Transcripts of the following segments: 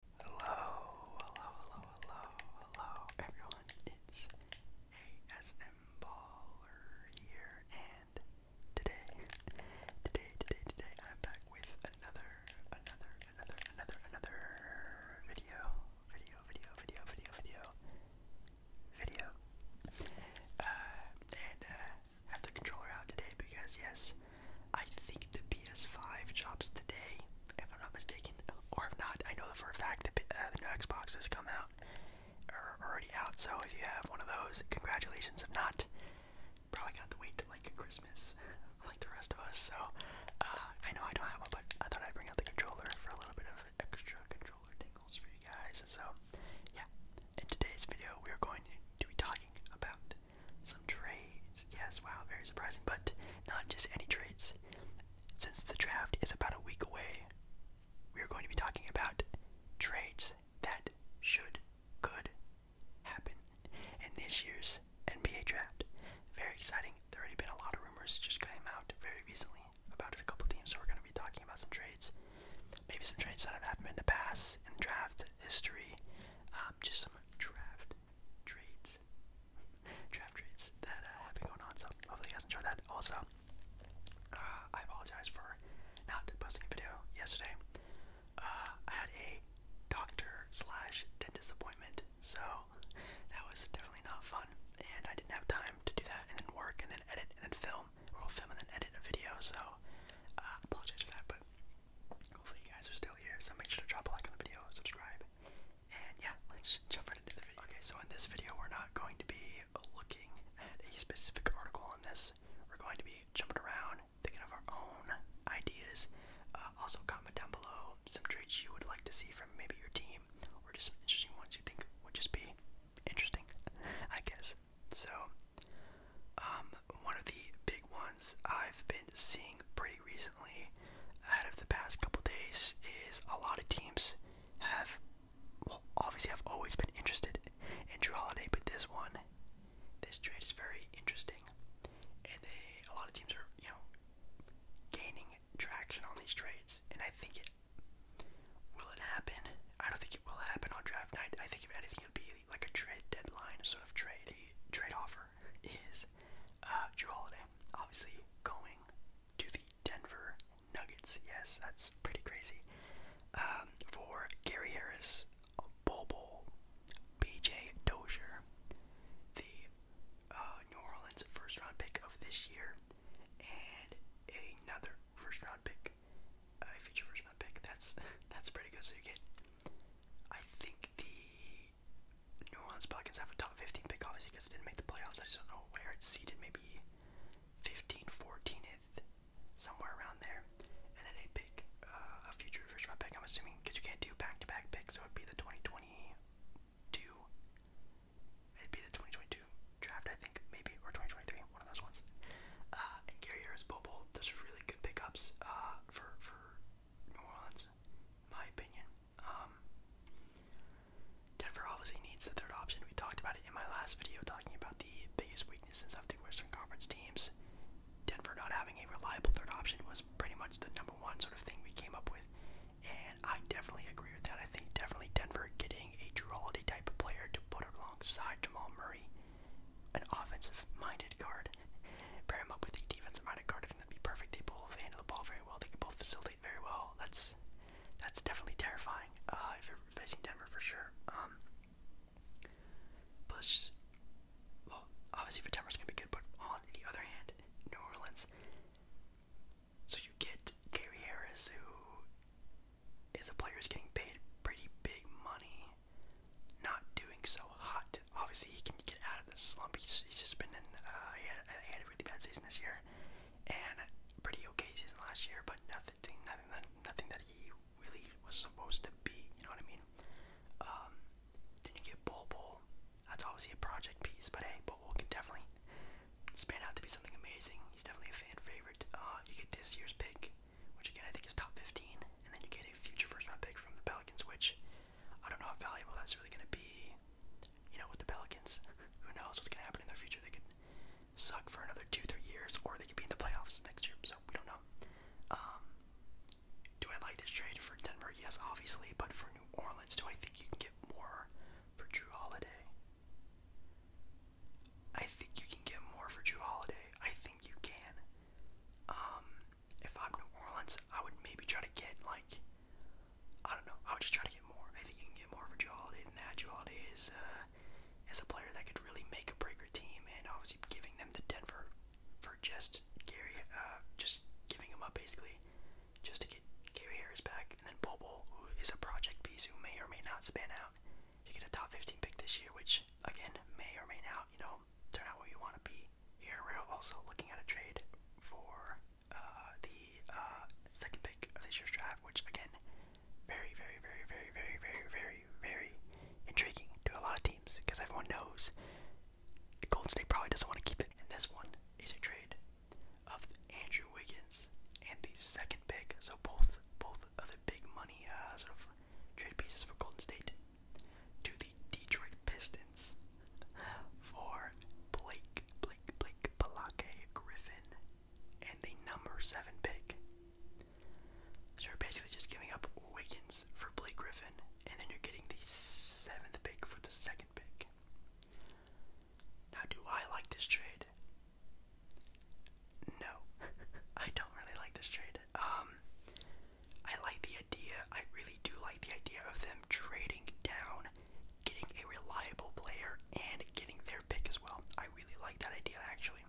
Hello, hello, hello, hello, hello, everyone. It's ASM Baller here, and today, today, today, today, I'm back with another, another, another, another, another video, video, video, video, video, video, Uh, and uh, have the controller out today because yes, I think the PS5 drops today, if I'm not mistaken, or if not, I know for a fact that uh, the new Xbox has come out, or already out. So if you have one of those, congratulations. If not, probably got to wait till like Christmas, like the rest of us. So uh, I know I don't have one, but I thought I'd bring out the controller for a little bit of extra controller tingles for you guys. So yeah, in today's video, we are going to be talking about some trades. Yes, wow, very surprising, but not just any trades. Since the draft is about a week away, we are going to be talking about trades that should, could happen in this year's NBA draft. Very exciting. There already been a lot of rumors just came out very recently about a couple teams, so we're going to be talking about some trades. Maybe some trades that have happened in the past, in draft history, um, just some draft trades, draft trades that uh, have been going on. So hopefully you guys enjoyed that. Also, uh, I apologize for not posting a video yesterday. Uh, I had a doctor slash dentist appointment, so that was definitely not fun. And I didn't have time to do that, and then work, and then edit, and then film, or film and then edit a video. So I apologize for that, but Hopefully you guys are still here, so make sure to drop a like on the video, subscribe, and yeah, let's jump right into the video. Okay, so in this video, we're not going to be looking at a specific article on this. We're going to be jumping around, thinking of our own ideas. Uh, also, comment down below some traits you would like to see from maybe your team, or just some interesting ones you think would just be interesting, I guess. So, um, one of the big ones I've been been seeing pretty recently out of the past couple days is a lot of teams have, well, obviously, I've always been interested in Drew Holiday, but this one, this trade is very interesting, and they, a lot of teams are, you know, gaining traction on these trades, and I think it will it happen. I don't think it will happen on draft night. I think if anything, it'll be like a trade deadline sort of trade, trade offer is uh, Drew Holiday. Obviously, going to the Denver Nuggets. Yes, that's pretty crazy. Um, for Gary Harris, Bobo, BJ Dozier, the uh, New Orleans first round pick of this year, and another first round pick, a future first round pick. That's that's pretty good. So you get I think the New Orleans Pelicans have a top 15 pick, obviously, because they didn't make the playoffs. I just don't know where it's seated, maybe 15, 14th, somewhere around there. And then they pick uh, a future first round pick, I'm assuming, because you can't do back to back picks, so it'd be the 2022. It'd be the 2022 draft, I think, maybe, or 2023, one of those ones. Uh, and Gary Harris, Bobo, those really good pickups uh, for, for New Orleans, my opinion. Um, Denver obviously needs the third option. We talked about it in my last video, talking about the biggest weaknesses of the Western Conference teams. Denver not having a reliable third option was pretty much the number one sort of thing we came up with, and I definitely agree with that. I think definitely Denver getting a Drew Holiday type of player to put alongside Jamal Murray an offensive-minded guard. Pair him up with a defensive-minded guard. I think that'd be perfect. They both handle the ball very well. They can both facilitate very well. That's that's definitely terrifying. Uh, if you're facing Denver for sure. Um, plus, well, obviously if Denver's gonna be good, but on the other hand, New Orleans. So you get Gary Harris, who is a player who's getting paid pretty big money not doing so hot. Obviously, he can get out of the slump. He's, just been in. Uh, he, had, a really bad season this year, and pretty okay season last year, but nothing, nothing, nothing that he really was supposed to be. You know what I mean? Um, then you get Bull Bull. That's obviously a project piece, but hey, Bull Bull can definitely span out to be something amazing. He's definitely a fan favorite. Uh, you get this year's pick, which again I think is top 15, and then you get a future first round pick from the Pelicans, which I don't know how valuable that's really going to be, you know, with the Pelicans. Who knows what's going to happen in the future? They could suck for another two, three years, or they could be in the playoffs next year, so we don't know. Um, do I like this trade for Denver? Yes, obviously, but for New Orleans, do I think you can get more for Drew Holiday? I think you can get more for Drew Holiday. I think you can. Um, if I'm New Orleans, I would maybe try to get like I don't know. I would just try to get more. I think you can get more for Joe Holiday than that. Joe Holiday is uh, is a player that could really make a breaker team, and obviously giving them to Denver for just Gary, uh, just giving him up basically, just to get Gary Harris back, and then Bobo, who is a project piece who may or may not span out. You get a top 15 pick this year, which again may or may not, you know, they're not where you want to be. Here we're also looking at a trade for uh, the uh, second pick of this year's draft, which again, very, very, very, very, very, very, very, very intriguing to a lot of teams because everyone knows Golden State probably doesn't want to keep it. And this one is a trade of Andrew Wiggins and the second pick. So both both of big money uh, sort of trade pieces for Golden State to the Detroit Pistons for Blake, Blake, Blake, Palake Griffin, and the number seven pick. So you're basically just giving up Wiggins for Blake Griffin, and then you're getting the seventh pick for the second pick. Now, do I like this trade? No, I don't really like this trade. Um, I like the idea. I really do like the idea of them trading down, getting a reliable player, and getting their pick as well. I really like that idea actually,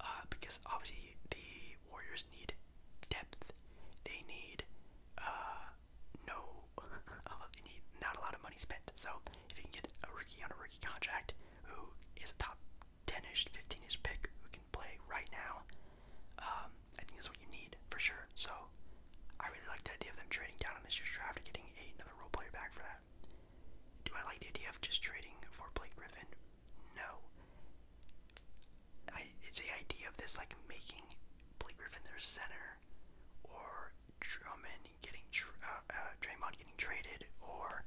uh, because obviously the Warriors need depth. They need uh, no, uh, they need not a lot of money spent. So if you can get a rookie on a rookie contract who is a top 10ish, 15ish pick who can play right now. Um, I think that's what you need for sure. So I really like the idea of them trading down on this year's draft and getting another role player back for that. Do I like the idea of just trading for Blake Griffin? No. I, it's the idea of this like making Blake Griffin their center, or Drummond getting uh, uh, Draymond getting traded, or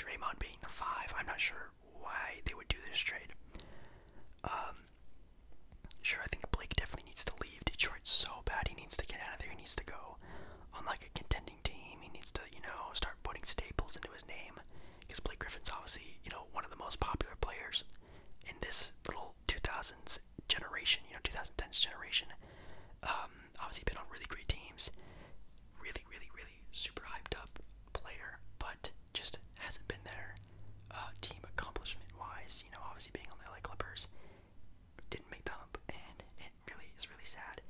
Draymond being the five. I'm not sure why they would do this trade. Um, sure, I think Blake definitely needs to leave Detroit so bad. He needs to get out of there. He needs to go on like a contending team. He needs to, you know, start putting staples into his name because Blake Griffin's obviously, you know, one of the most popular players in this little 2000s generation. You know, 2010s generation. Um, obviously been on really great teams. Really, really, really super hyped up player, but just hasn't been there uh, team accomplishment wise. You know, obviously being on the LA Clippers didn't make the hump, and it really is really sad.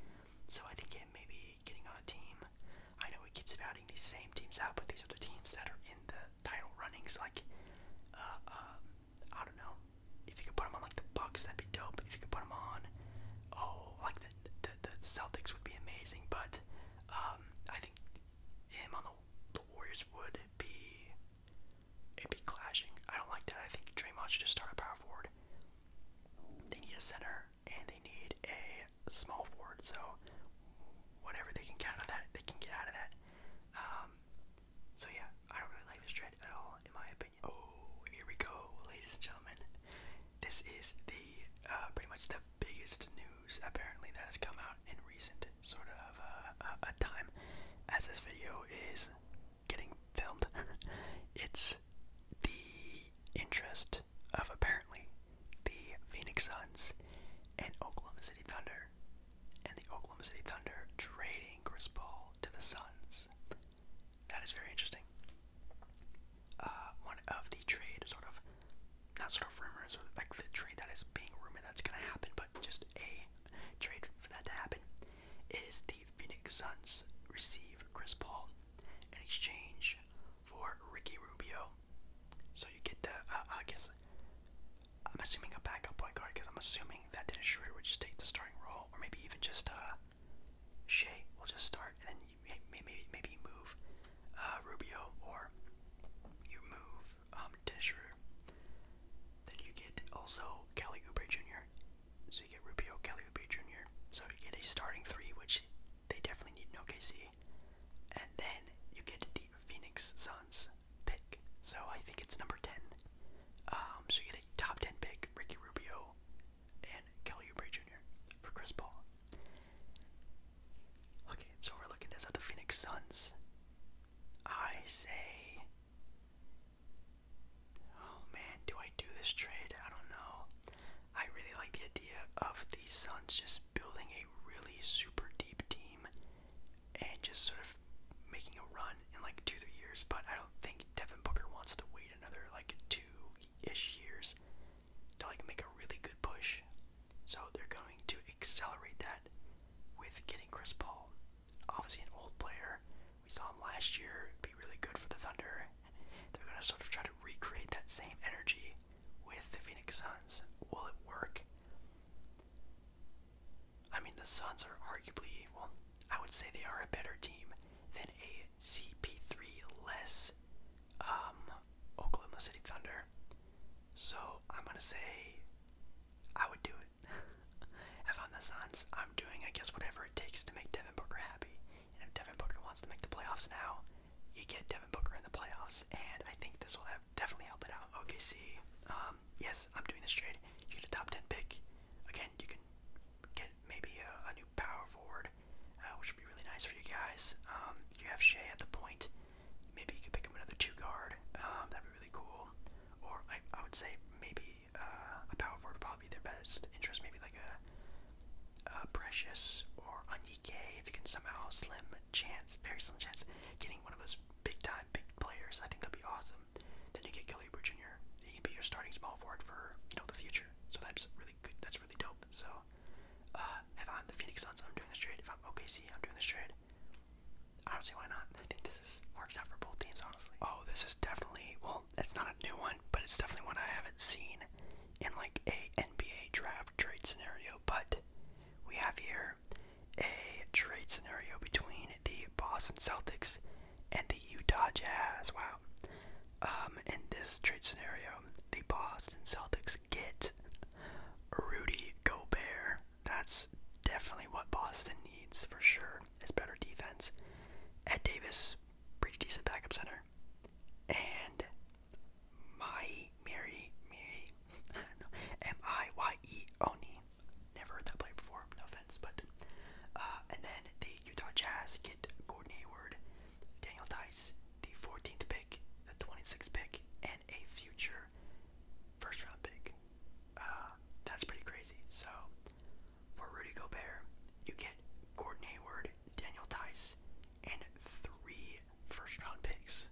So I think him maybe getting on a team. I know he keeps outing these same teams out, but these are the teams that are in the title runnings. Like, uh, um, I don't know. If you could put him on like the Bucks, that'd be dope. If you could put him on, oh, like the the, Celtics would be amazing, but um, I think him on the, Warriors would be it'd be clashing. I don't like that. I think Draymond should just start a power forward. They need a center and they need a small forward. So whatever they can count on, that, they can get out of that. Um, so yeah, I don't really like this trend at all, in my opinion. Oh, here we go, ladies and gentlemen this is the uh, pretty much the biggest news apparently that has come out in recent sort of uh, a, a time as this video is getting filmed. it's the interest of apparently the Phoenix Suns and Oklahoma City Thunder and the Oklahoma City Thunder trading Chris Paul to the Suns. That is very interesting uh, one of the trade sort of, not sort of rumors, like the trade that is being rumored that's going to happen, but just a trade for that to happen, is the Phoenix Suns receive Chris Paul in exchange for Ricky Rubio. So you get the, uh, I guess, I'm assuming a backup point guard because I'm assuming that Dennis Schroeder would just take the starting role, or maybe even just a. Uh, we will just start, and then maybe maybe maybe you move uh, Rubio or you move um, Dennis Then you get also Kelly Oubre Jr. So you get Rubio, Kelly Oubre Jr. So you get a starting three, which they definitely need No KC, And then you get the Phoenix Suns pick. So I think it's number ten. Um, so you get a top ten pick, Ricky Rubio, and Kelly Oubre Jr. for Chris Paul. Okay, so we're looking at the Phoenix Suns. I say, oh man, do I do this trade? I don't know. I really like the idea of the Suns just building a really super deep team and just sort of making a run in like two, three years. But I don't think Devin Booker wants to wait another like two ish years I can make a really good push. So they're going to accelerate that with getting Chris Paul. Obviously an old player. We saw him last year be really good for the Thunder. They're gonna sort of try to recreate that same energy with the Phoenix Suns. Will it work? I mean the Suns are arguably well, I would say they are a better team than a CP3-less um, Oklahoma City Thunder. So I'm gonna say I would do it. if I'm the Suns, I'm doing I guess whatever it takes to make Devin Booker happy. And if Devin Booker wants to make the playoffs now, you get Devin Booker in the playoffs, and I think this will have definitely help it out. OKC, um, yes, I'm doing this trade. You get a top 10 pick. Again, you can get maybe a, a new power forward, uh, which would be really nice for you guys. Um, you have Shea at the point. Maybe you could pick up another two guard. Um, that'd be really cool. Or I, I would say maybe uh, a power forward would probably be their best interest. Maybe like a, a Precious or Onyike if you can somehow slim chance, very slim chance, getting one of those big time big players. I think that'd be awesome. Then you get Kelly Jr. He can be your starting small forward for you know the future. So that's really good. That's really dope. So uh, if I'm the Phoenix Suns, I'm doing this trade. If I'm OKC, I'm doing this trade. I don't see why not. I think this is works out for both teams, honestly. Oh, this is definitely well. That's not a new one, but it's definitely one I haven't seen in like a NBA draft trade scenario. But we have here a trade scenario between the Boston Celtics and the Utah Jazz. Wow. Um, in this trade scenario, the Boston Celtics get Rudy Gobert. That's definitely what Boston needs for sure. Is better defense. Ed Davis, pretty decent backup center, and my Mary Mary, I Never heard that play before. No offense, but uh, and then Utah Jazz get Gordon Hayward, Daniel Tice, the 14th pick, the 26th pick, and a future first round pick. Uh, that's pretty crazy. So, for Rudy Gobert, you get Gordon Hayward, Daniel Tice, and three first round picks.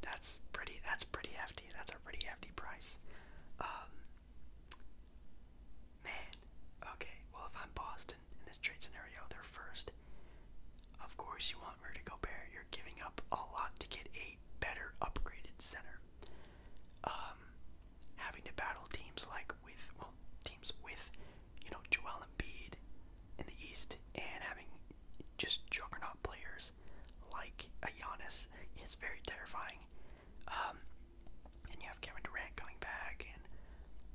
That's pretty. That's pretty hefty. That's a pretty hefty price. Um, Man, okay, well, if I'm Boston in this trade scenario, they're first. Of course, you want Rudy Gobert. You're giving up a lot to get a better upgraded center. Um, having to battle teams like with, well, teams with, you know, Joel Embiid in the East and having just juggernaut players like a Giannis is very terrifying going. Um, and you have Kevin Durant coming back, and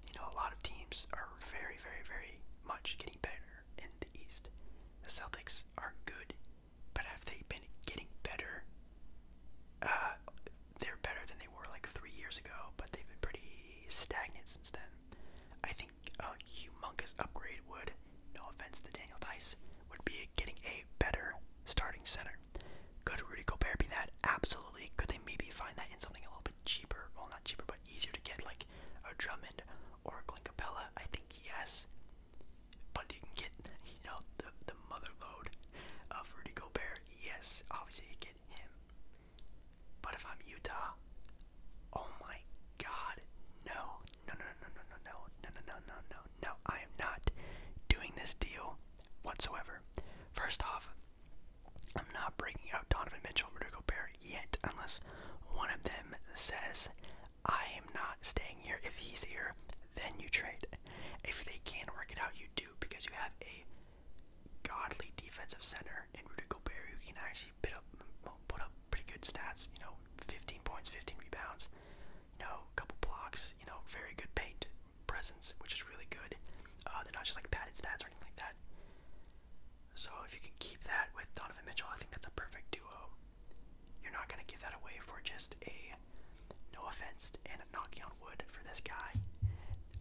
you know a lot of teams are very, very, very much getting better in the East. The Celtics are good, but have they been getting better? Uh, they're better than they were like three years ago, but they've been pretty stagnant since then. I think a humongous upgrade would, no offense to Daniel Tice, would be getting a better starting center. Could Rudy Gobert be that? Absolutely. Could they maybe find that in something a little bit cheaper? Well, not cheaper, but easier to get, like a Drummond or a Clincapella? I think yes. But you can get, you know, the the mother load of Rudy Gobert. Yes, obviously you get him. But if I'm Utah, oh my God, no, no, no, no, no, no, no, no, no, no, no, no, no, I am not doing this deal whatsoever. First off, I'm not breaking out Donovan Mitchell and Rudy Gobert yet, unless one of them says, I am not staying here. If he's here, then you trade. If they can't work it out, you do, because you have a godly defensive center in Rudy Gobert who can actually put up pretty good stats, you know, 15 points, 15 rebounds you know, couple blocks, you know, very good paint presence, which is really good. Uh, they're not just like padded stats or anything like that. So if you can keep that with Donovan Mitchell, I think that's a perfect duo. You're not gonna give that away for just a no offense and a knocking on wood for this guy.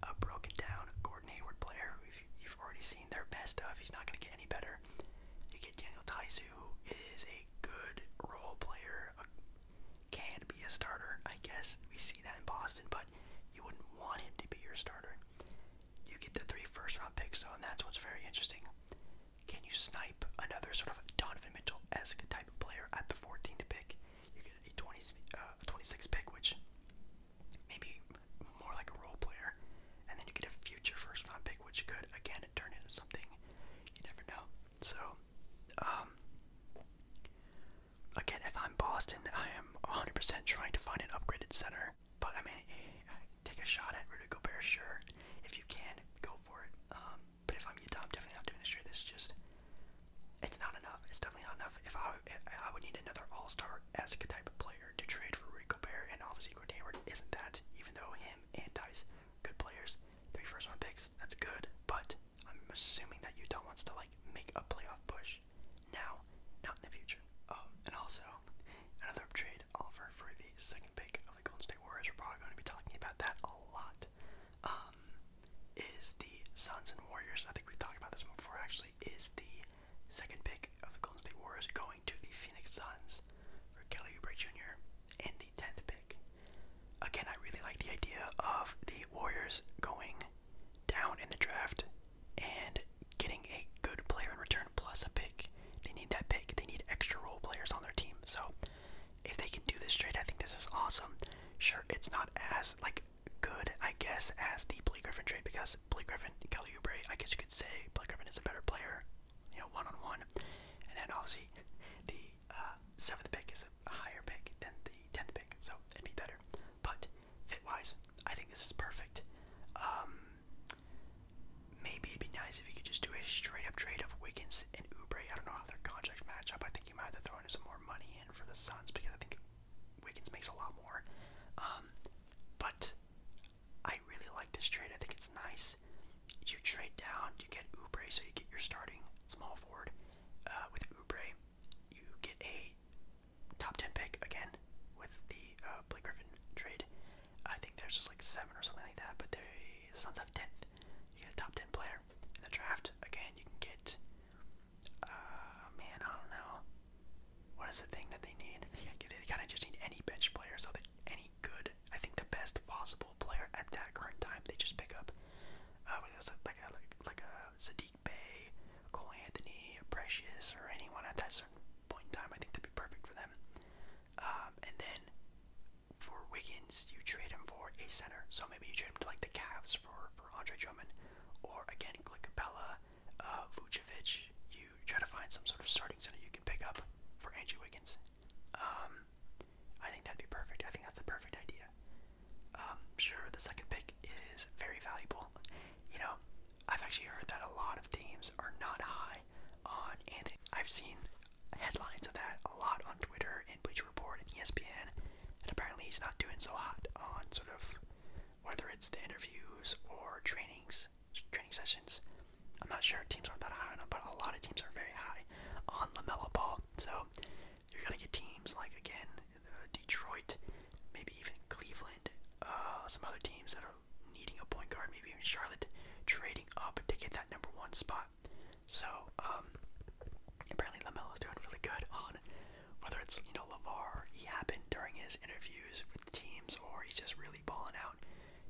A broken down Gordon Hayward player you've already seen their best of. He's not gonna get any better. You get Daniel Tice who is a good role player, can be a starter. I guess we see that in Boston, but you wouldn't want him to be your starter. You get the three first round picks, though, and that's what's very interesting. Can you snipe another sort of Donovan Mitchell esque type of player at the 14th pick? You get a 20, uh, 26 pick, which maybe more like a role player, and then you get a future first round pick, which could again turn into something. You never know. So, um, again, if I'm Boston, I am 100% trying to find an upgraded center. But I mean, take a shot at Rudy Gobert, sure. If you can, go for it. Um, but if I'm Utah, I'm definitely not doing this trade. This is just, it's not enough. It's definitely not enough. If I, I would need another All-Star as a type of player to trade for Rudy Gobert, and obviously Gordon Hayward isn't that. Even though him and Dice, good players, three first round picks, that's good, but I'm assuming that Utah wants to like make a playoff push now, not in the future. Um, and also, another trade offer for the second pick of the Golden State Warriors, we're probably going to be talking about that a lot, um, is the Suns and Warriors. I think we talked about this before actually, is the second pick of the Golden State Warriors going to the Phoenix Suns for Kelly Oubre Jr. and the 10th pick Again, I really like the idea of the Warriors going down in the draft and getting a good player in return plus a pick. They need that pick. They need extra role players on their team. So if they can do this trade, I think this is awesome. Sure, it's not as like good, I guess, as the Blake Griffin trade because Blake Griffin, Kelly Oubre, I guess you could say Blake Griffin is a better player, you know, one on one. And then obviously the uh, seventh pick is a higher pick than the tenth pick, so it'd be better. But fit wise, I think this is perfect. Um, maybe it'd be nice if you could just do a straight up trade of Wiggins and Oubre. I don't know how their contracts match up. I think you might have to throw in some more money in for the Suns because I think Wiggins makes a lot more. Um, but I really like this trade. I think it's nice you trade down, you get Oubre, so you get your starting small forward. Uh, with Oubre, you get a top 10 pick again with the uh, Blake Griffin trade. I think there's just like 7 or something like that, but the Suns have 10th. You get a top 10 player. In the draft, again, you can get. Uh, man, I don't know. What is the thing that they need? They kind of just need any bench player, so that any good. I think the best possible player at that current time they just pick up. Uh, like like, like a Sadiq Bay, Cole Anthony, Precious, or anyone at that certain point in time, I think that'd be perfect for them. Um, and then for Wiggins, you trade him for a center. So maybe you trade him to like the Cavs for for Andre Drummond, or again like Capella, uh, Vucevic. You try to find some sort of starting center you can pick up for Andrew Wiggins, um, I think that'd be perfect. I think that's a perfect idea. Um, sure, the second pick is very valuable. You know, I've actually heard that a lot of teams are not high on Anthony. I've seen headlines of that a lot on Twitter and Bleacher Report and ESPN, and apparently he's not doing so hot on sort of whether it's the interviews or trainings, training sessions. I'm not sure teams aren't that high on him, but a lot of teams are very high on Lamella Ball. So you're gonna get teams like again uh, Detroit, maybe even Cleveland, uh, some other teams that are needing a point guard, maybe even Charlotte, trading up to get that number one spot. So um, apparently apparently is doing really good on whether it's you know Lavar, he happened during his interviews with teams, or he's just really balling out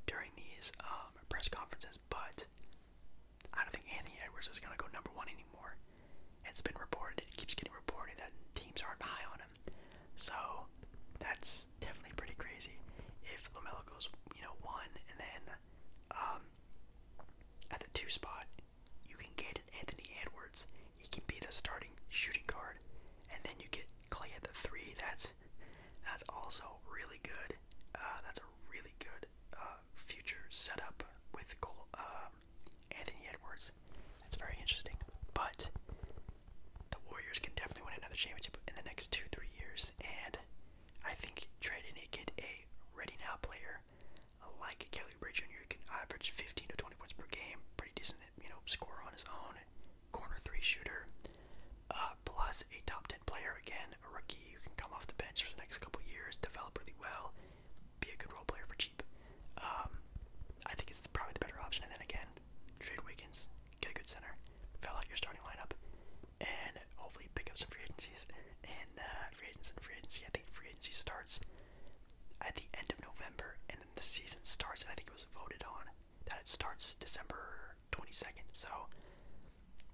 during these um, press conferences. But I don't think Anthony Edwards is going to go number one anymore. It's been reported, it keeps getting reported that teams aren't high on him. So that's definitely pretty crazy. If Lamelo goes, you know, one, and then um, at the two spot, you can get Anthony Edwards. He can be the starting shooting guard, and then you get Clay at the three. That's that's also really good. Uh, that's a really good uh, future setup with uh, Anthony Edwards. That's very interesting. But the Warriors can definitely win another championship in the next two, three years. And I think trading a kid a ready now player like Kelly Bray Jr. can average 15 to 20 points per game, pretty decent, you know, score on his own, corner three shooter, uh, plus a top 10 player again, a rookie who can come off the bench for the next couple years, develop really well, be a good role player for cheap. Um, I think it's probably the better option. And then again, trade Wiggins, get a good center, fill out your starting lineup, and hopefully pick up some free agencies. And uh, free agents and free agency. I think free agency starts at the end of November, and then the season starts. I think it was voted on that it starts December 22nd. So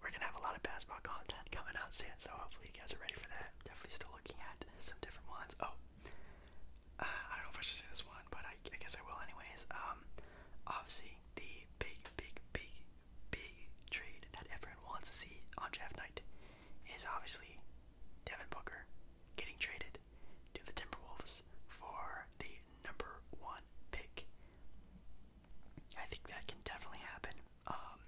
we're gonna have a lot of basketball content coming out soon. So hopefully you guys are ready for that. Definitely still looking at some different ones. Oh, uh, I don't know if I should say this one, but I, I guess I will anyways. Um, obviously the big, big, big, big trade that everyone wants to see on draft night is obviously Devin Booker getting traded to the Timberwolves for the number one pick. I think that can definitely happen. Um,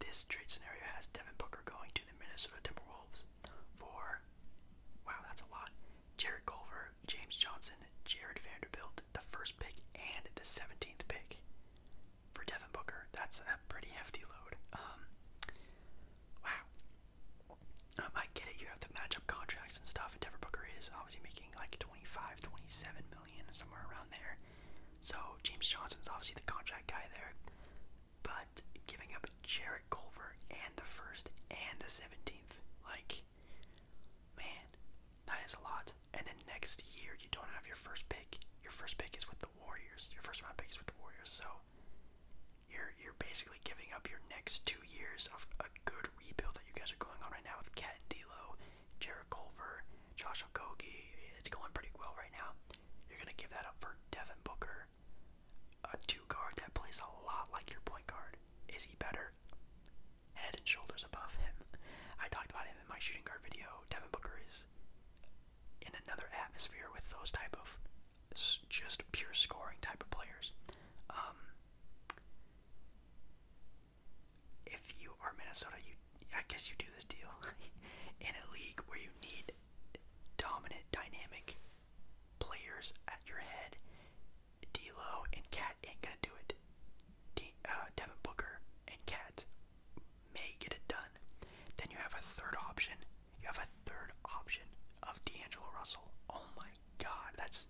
this trade scenario has Devin Booker going to the Minnesota Timberwolves for, wow, that's a lot. Jared Culver, James Johnson, Jared Vanderbilt, the first pick, and the 17th pick for Devin Booker. That's a pretty hefty load. Um, wow. Um, I get it. You have the matchup contracts and stuff, Devin Booker is obviously making like 25, 27 million, somewhere around there. So James Johnson's obviously the contract guy there. But giving up Jarrett Culver and the first and the 17th, like, man, that is a lot. And then next year, you don't have your first pick. Your first pick is with the Warriors. Your first round pick is with the Warriors. So you're you're basically giving up your next two years of a good rebuild that you guys are going on right now with Cat and D'Lo, Jared Culver, Josh Okogie. It's going pretty well right now. You're gonna give that up for Devin Booker, a two guard that plays a lot like your point guard. Is he better? Head and shoulders above him. I talked about him in my shooting guard video. Devin Booker is in another atmosphere with those type of just pure scoring type of players. Um, if you are Minnesota, you I guess you do this deal in a league where you need dominant, dynamic players at your head. D'Lo and Cat ain't gonna do it. uh, Devin Booker and Cat may get it done. Then you have a third option. You have a third option of D'Angelo Russell. Oh my god, that's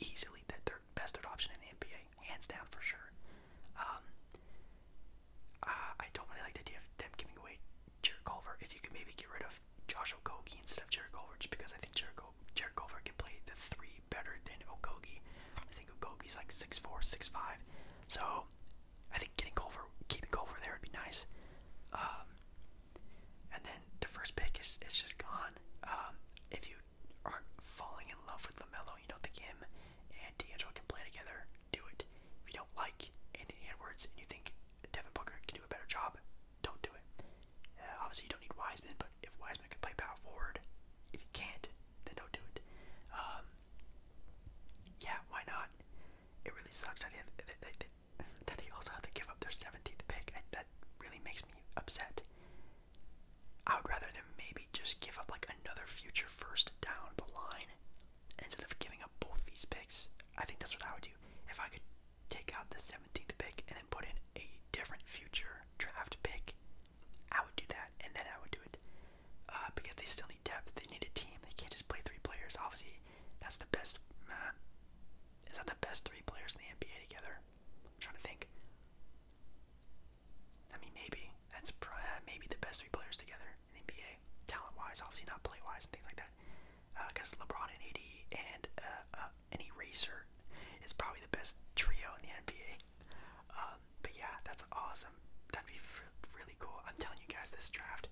easily the third best third option in the NBA, hands down for sure. Um, uh, I don't really like the idea of them giving away Jared Culver. If you could maybe get rid of Josh Okogie instead of Jared Culver, just because I think Jared, Jared Culver can play the three better than Okogie. I think Okogie's like 6'4", so I think getting Culver, keeping Culver there would be nice. Um, and then the first pick is, just gone. Um, if you aren't falling in love with LaMelo, you know, the him and D'Angelo can play together, do it. If you don't like Anthony Edwards and you think Devin Booker can do a better job, don't do it. Uh, obviously, you don't need Wiseman, but if Wiseman can play power forward, if you can't, then don't do it. Um, yeah, why not? It really sucks that they, they, also had to give up their 17th pick that really makes me upset. I would rather them maybe just give up like another future first down the line instead of giving up both these picks. I think that's what I would do. If I could take out the 17th pick and then put in a different future draft pick, I would do that and then I would do it. Uh, because they still need depth, they need a team. They can't just play three players. Obviously, that's the best. is that the best three players in the NBA together? trying to think. I mean, maybe that's uh, maybe the best three players together in NBA, talent-wise, obviously not play-wise and things like that. Because uh, LeBron and AD and uh, uh, an eraser is probably the best trio in the NBA. Um, but yeah, that's awesome. That'd be really cool. I'm telling you guys, this draft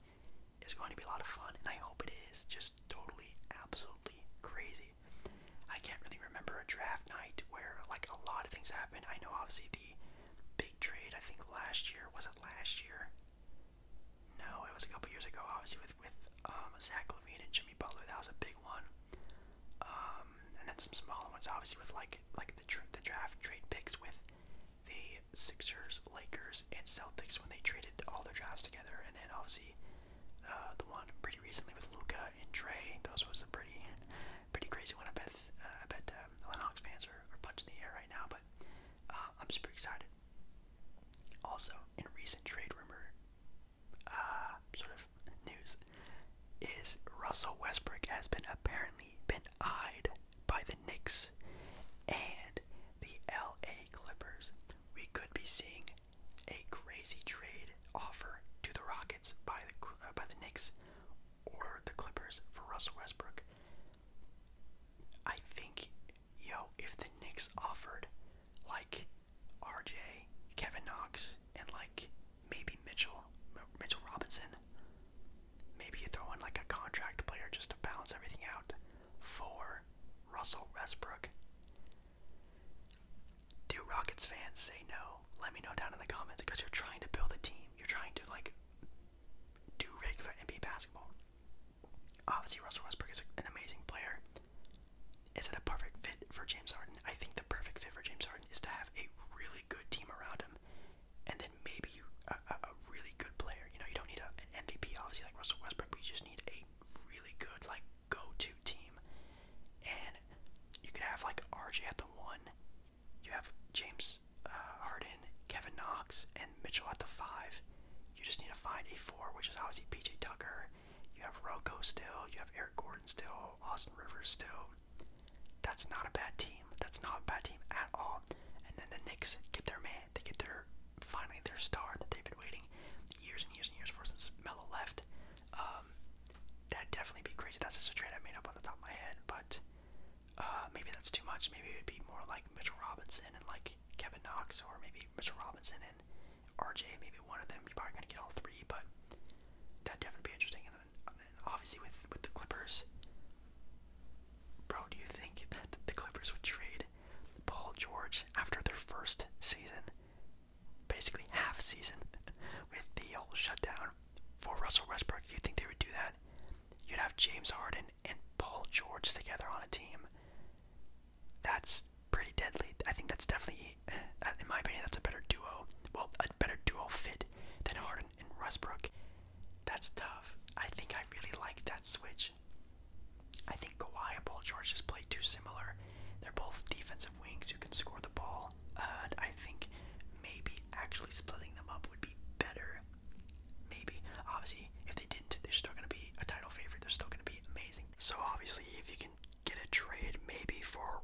is going to be a lot of fun, and I hope it is. Just totally, absolutely crazy crazy. I can't really remember a draft night where like a lot of things happened. I know obviously the big trade I think last year was it last year? No, it was a couple years ago. Obviously with with um, Zach Levine and Jimmy Butler, that was a big one. Um, and then some smaller ones, obviously with like like the tr the draft trade picks with the Sixers, Lakers, and Celtics when they traded all their drafts together, and then obviously uh, the one pretty recently with Luca and Trey. Those was a pretty, pretty crazy one. I bet, uh, I bet um, the Hawks fans are, are punching the air right now. But uh, I'm super excited. Also, in recent trade rumor, uh, sort of news, is Russell Westbrook has been apparently been eyed by the Knicks and the LA Clippers. We could be seeing a crazy trade offer to the Rockets by the uh, by the Knicks or the Clippers for Russell Westbrook. I think, yo, if the Knicks offered like RJ, Kevin Knox, and like maybe Mitchell, Mitchell Robinson, maybe you throw in like a contract player just to balance everything out for Russell Westbrook. Do Rockets fans say no? Let me know down in the comments because you're trying to build a team. You're trying to like do regular NBA basketball. Obviously, Russell Westbrook is an amazing player. Is it a perfect fit for James Harden? I think the perfect fit for James Harden is to have a really good team around him, and then maybe you a, a, really good player. You know, you don't need a, an MVP obviously like Russell Westbrook, but you just need a really good like go-to team. And you could have like RJ at the one. You have James uh, Harden, Kevin Knox, and Mitchell at the five. You just need to find a four, which is obviously PJ Tucker. You have Rocco still. You have Eric Gordon still. Austin Rivers still. That's not a bad team. That's not a bad team at all. And then the Knicks get their man they get their finally their star that they've been waiting years and years and years for since Mello left. Um, that'd definitely be crazy. That's just a trade I made up on the top of my head, but uh, maybe that's too much. Maybe it'd be more like Mitchell Robinson and like Kevin Knox, or maybe Mitchell Robinson and RJ. Maybe one of them. You're probably gonna get all three, but that'd definitely be interesting. And and then obviously with with the Clippers, bro, do you think that the Clippers would trade Paul George after their first season, basically half season, with the whole shutdown for Russell Westbrook. You think they would do that? You'd have James Harden and Paul George together on a team. That's pretty deadly. I think that's definitely, uh, in my opinion, that's a better duo. Well, a better duo fit than Harden and Westbrook. That's tough. I think I really like that switch. I think Kawhi and Paul George just play too similar. They're both defensive wings who can score the ball. and I think maybe actually splitting them up would be better. Maybe. Obviously, if they didn't, they're still going to be a title favorite. They're still going to be amazing. So obviously, if you can get a trade maybe for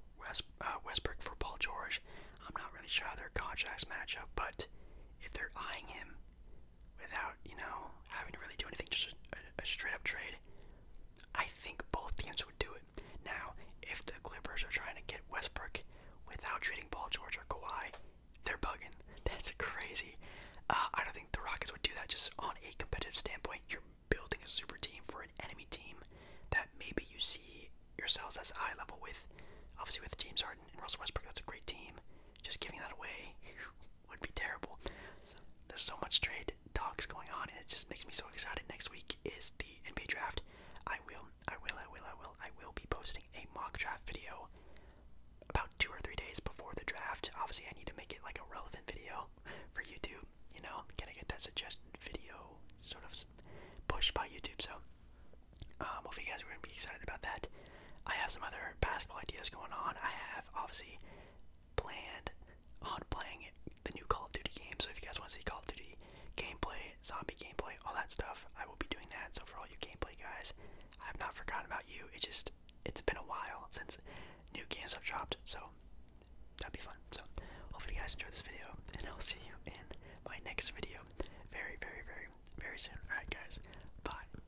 uh, Westbrook for Paul George, I'm not really sure how their contracts match up, but if they're eyeing him, without, you know, having to really do anything, just a, straight up trade, I think both teams would do it. Now, if the Clippers are trying to get Westbrook without trading Paul George or Kawhi, they're bugging. That's crazy. Uh, I don't think the Rockets would do that. Just on a competitive standpoint, you're building a super team for an enemy team that maybe you see yourselves as eye level with. Obviously, with James Harden and Russell Westbrook, that's a great team. Just giving that away. would be terrible. So, there's so much trade talks going on, and it just makes me so excited. Next week is the NBA draft. I will, I will, I will, I will, I will be posting a mock draft video about two or three days before the draft. Obviously, I need to make it like a relevant video for YouTube. You know, gotta get that suggested video sort of pushed by YouTube. So, um, hopefully, you guys are gonna be excited about that. I have some other basketball ideas going on. I have obviously planned on playing the new Call of Duty game. So if you guys want to see Call of Duty gameplay, zombie gameplay, all that stuff, I will be doing that. So for all you gameplay guys, I have not forgotten about you. It just it's been a while since new games have dropped. So that'd be fun. So hopefully you guys enjoy this video, and I'll see you in my next video very, very, very, very soon. All right, guys. Bye.